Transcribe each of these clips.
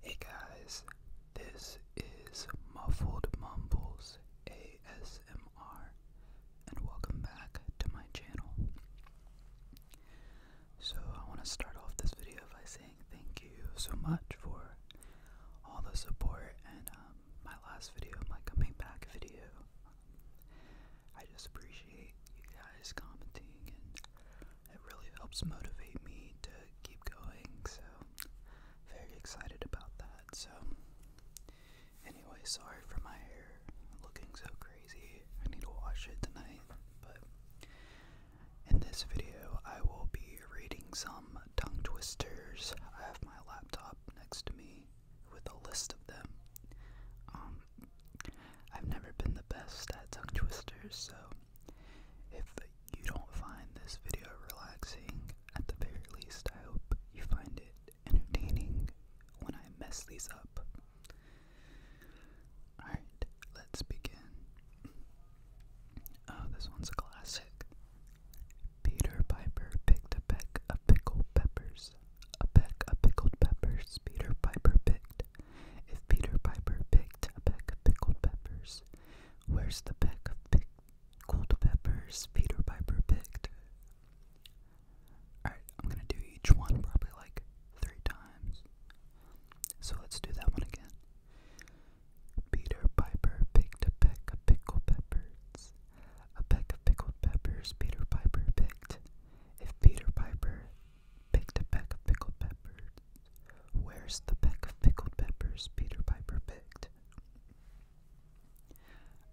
Hey guys, this is Muffled Mumbles ASMR, and welcome back to my channel. So, I want to start off this video by saying thank you so much for all the support and um, my last video, my coming back video. I just appreciate you guys commenting and it really helps motivate me to keep going. So, very excited about that. So, anyway, sorry for my hair looking so crazy. I need to wash it tonight. But in this video, I will be reading some tongue twisters. I have my laptop next to me with a list of them. Um, I've never been the best at tongue twisters, so if you don't find this video relaxing, at the very least, I hope you find it entertaining when I mess these up. Alright, let's begin. Oh, this one's a classic. Peter Piper picked a peck of pickled peppers. A peck of pickled peppers Peter Piper picked. If Peter Piper picked a peck of pickled peppers, where's the peck of pickled peppers Peter Piper picked? Alright, I'm gonna do each one probably like three times. So let's do that one again. Peter Piper picked a peck of pickled peppers. A peck of pickled peppers Peter Piper picked. If Peter Piper Picked a peck of pickled peppers. Where's the peck of pickled peppers Peter Piper picked?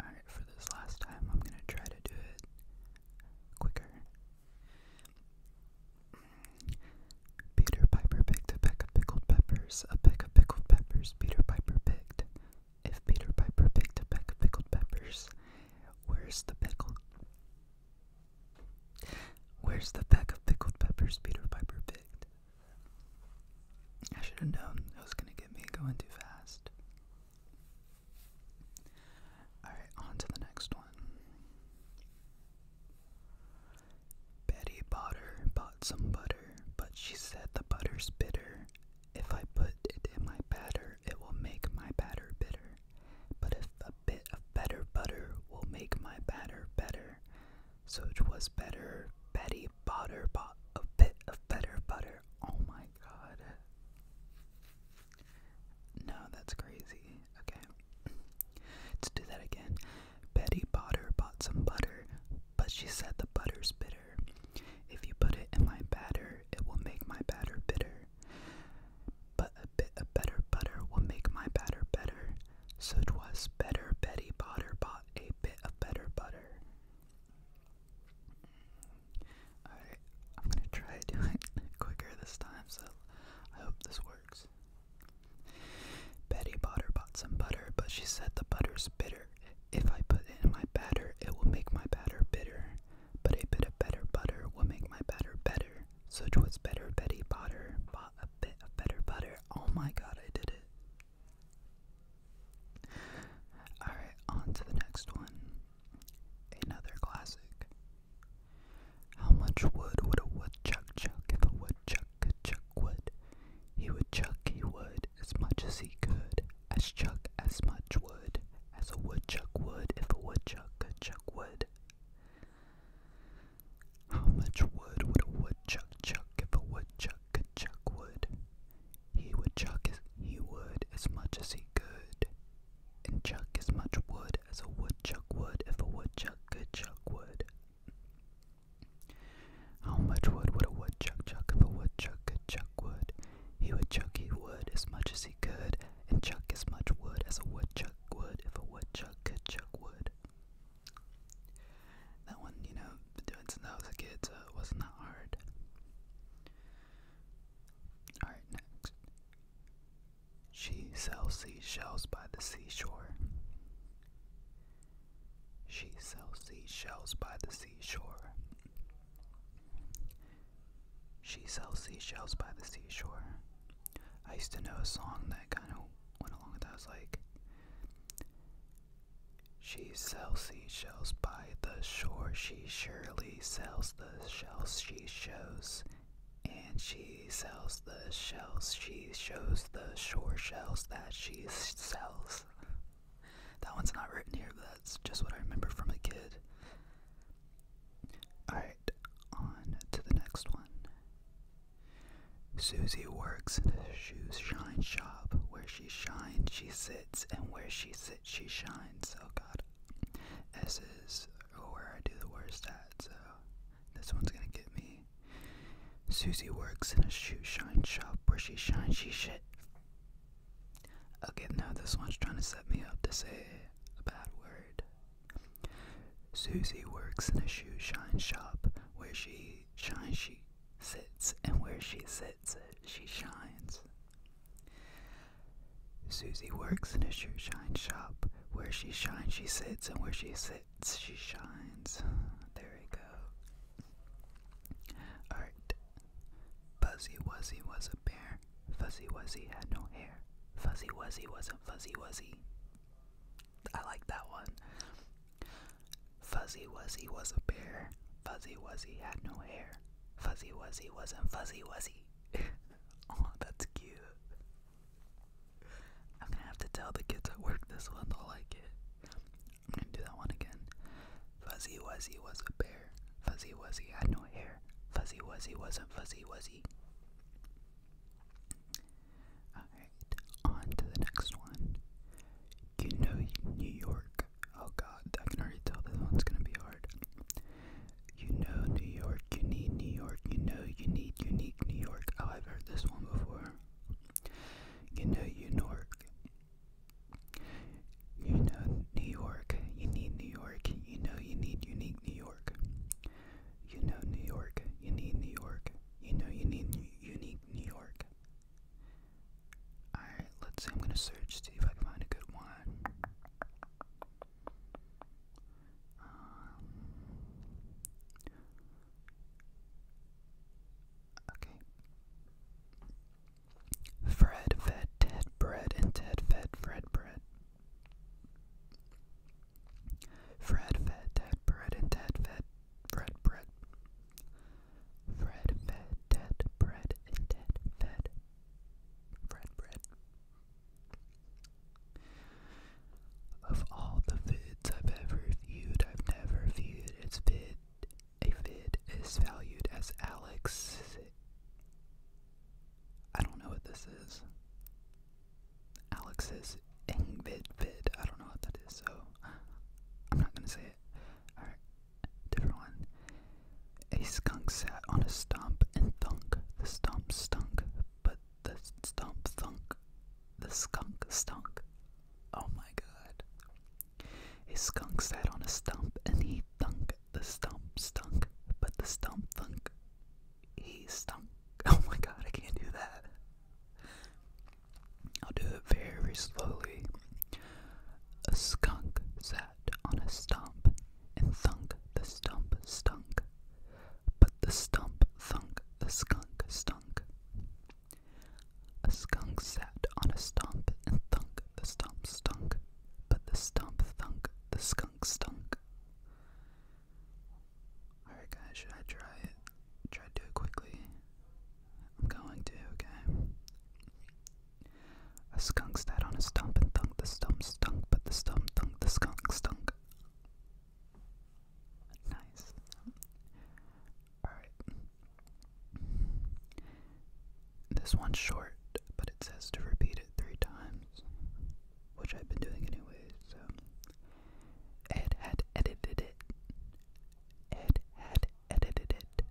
Alright, for this last time, I'm gonna try to do it quicker. Peter Piper picked a peck of pickled peppers, a peck of pickled peppers Peter Piper picked. If Peter Piper picked a peck of pickled peppers, Where's the pickle? Where's the pack of pickled peppers Peter Piper picked? I should have known it was gonna get me going too fast. Alright, on to the next one. Betty Potter bought some butter, but she said the butter's bitter if I put it in my batter, it will make my batter bitter. But if a bit of better butter will make my batter better, so it was better. Betty Botter bought a bit of better butter. Oh my god. No, that's crazy. Okay. Let's do that again. Betty Botter bought some butter, but she said the butter's bitter. If you put it in my batter, it will make my batter bitter. But a bit of better butter will make my batter better. So 'twas better Betty Potter bought a bit of better butter. Alright, I'm gonna try doing it quicker this time, so I hope this works. Betty Potter bought some butter, but she said the butter's bitter. If I put it in my batter, it will make my batter bitter. But a bit of better butter will make my batter better. So was better Betty Potter bought a bit of better butter. Oh my god, I did it. Alright, on to the next one. Another classic. How much wood would a woodchuck chuck if a woodchuck could chuck wood? He would chuck, he would as much as he could, as chuck as much wood, as a woodchuck would if a woodchuck could chuck wood. How much wood would a woodchuck chuck if a woodchuck could chuck wood? He would chuck as he would as much as he could, and chuck as much wood as a woodchuck would if a woodchuck could chuck wood. How much wood would a woodchuck chuck if a woodchuck could chuck wood? He would chuck he wood as much as he could, and chuck as much wood as a woodchuck would if a woodchuck could chuck wood. That one, you know, doing since I was wasn't hard. Alright, next. She sells seashells by the seashore. She sells seashells by the seashore. She sells seashells by the seashore. I used to know a song that kind of went along with that. was like, She sells seashells by the shore. She surely sells the shells she shows. And she sells the shells she shows, the shore shells that she sells. That one's not written here, but that's just what I remember from a kid. Alright, on to the next one. Susie works in a shoe shine shop. Where she shines, she sits, and where she sits, she shines. So oh, god. S is where I do the worst at, so this one's gonna get me. Susie. works in a shoe shine shop where she shines she shit. Okay, now this one's trying to set me up to say a bad word. Susie works in a shoe shine shop where she shines she sits, and where she sits, she shines. Susie works in a shoe shine shop where she shines she sits, and where she sits, splits, she shines. There we go. Alright. Fuzzy Wuzzy was a bear. Fuzzy Wuzzy had no hair. Fuzzy Wuzzy wasn't Fuzzy Wuzzy. I like that one. Fuzzy Wuzzy was a bear. Fuzzy Wuzzy had no hair. Fuzzy Wuzzy wasn't Fuzzy Wuzzy. oh, that's cute. I'm gonna have to tell the kids at work this one they'll like it. I'm gonna do that one again. Fuzzy Wuzzy was a bear. Fuzzy Wuzzy had no hair. Fuzzy Wuzzy wasn't Fuzzy Wuzzy. Alright, on to the next one. You know New York. Oh god, I can already tell this one's gonna be hard. You know New York, you need New York, you know you need unique New York. Oh, I've heard this one before. You know New York. You know New York. You need New York. You know you need unique New York. You know New York. You need New York. You know you need unique New York. Alright, let's see. I'm going to search, see if I can find a good one. Um, okay. Fred fed Ted bread, and Ted fed Fred bread. Fred fed Ted bread, and Ted fed Fred bread. Fred fed Ted bread, and Ted fed Fred bread. Of all the vids I've ever viewed, I've never viewed its vid. A vid is valued as Alex. I don't know what this is. Alex's vid vid. I don't know what that is, so I'm not gonna say it. Alright, different one. A skunk sat on a stump and thunk. The stump stunk, but the stump thunk, the skunk stunk. Oh my god. A skunk sat on a stump and he thunk, the stump stunk, but the stump thunk, he stunk. Oh my god, I can't do that. I'll do it very slowly. A skunk sat on a stump and thunk, the stump stunk, but the stump thunk the skunk stunk. A skunk sat on a stump and thunk the stump stunk. But the stump thunk the skunk stunk. Alright guys, should I try it? Try to do it quickly. I'm going to, okay? A skunk sat on a stump and thunk the stump stunk, but the stump thunk the skunk stunk. Nice. Alright. This one's short, but it says to repeat it three times, which I've been doing anyway, so. Ed had edited it. Ed had edited it.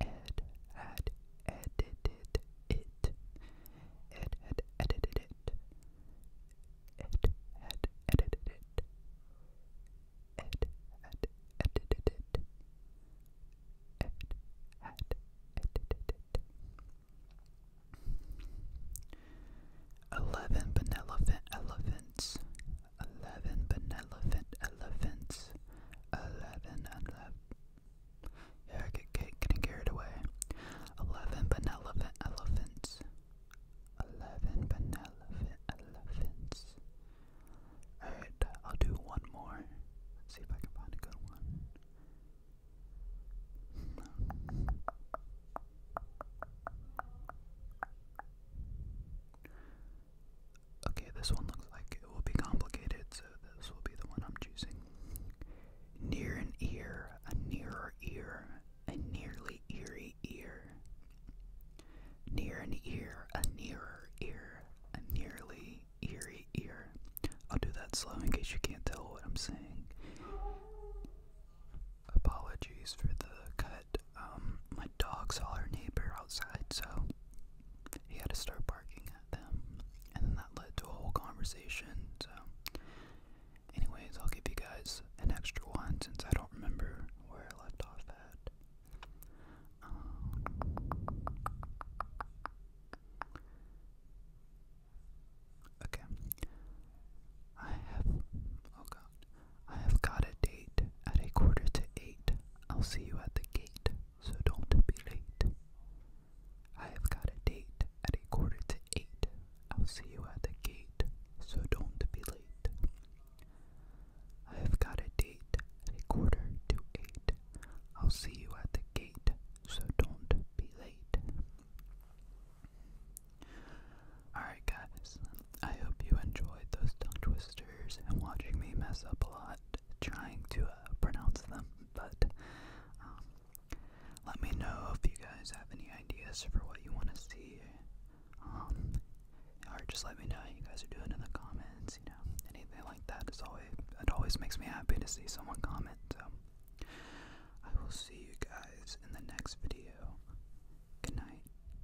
Ed had edited it. Ed had edited it. Ed had edited it. Ed had edited it. Ed had edited it. Eleven benevolent elephants. Eleven benevolent elephants. Eleven eleven yeah, I get, get getting carried away. Eleven banana elephants. Eleven banana elephants. Alright, I'll do one more. Let's see if I can find a good one. Okay, this one looks like it will be complicated, so this will be the one I'm choosing. Near an ear, a nearer ear, a nearly eerie ear. Near an ear, a nearer ear, a nearly eerie ear. I'll do that slow in case you can't tell what I'm saying. Apologies for the cut. Um, my dog saw her neighbor outside, so he had to start barking at them. And then that led to a whole conversation. So, anyways, I'll give you guys an extra one since I don't remember where I left off at. Um, okay. I have. Oh I have got a date at a quarter to eight I'll see you at the gate, so don't be late. I have got a date at a quarter to eight. I'll see you at the gate, so don't be late. I have got a date at a quarter to eight. I'll see you at the gate, so don't be late. Alright, guys, I hope you enjoyed those tongue twisters and watching me mess up a lot trying to uh, pronounce them, but um, let me know if you guys have any ideas for what you want to see. Um, or just let me know how you guys are doing in the comments, you know, anything like that is always it always makes me happy to see someone comment. So I will see you guys in the next video. Good night.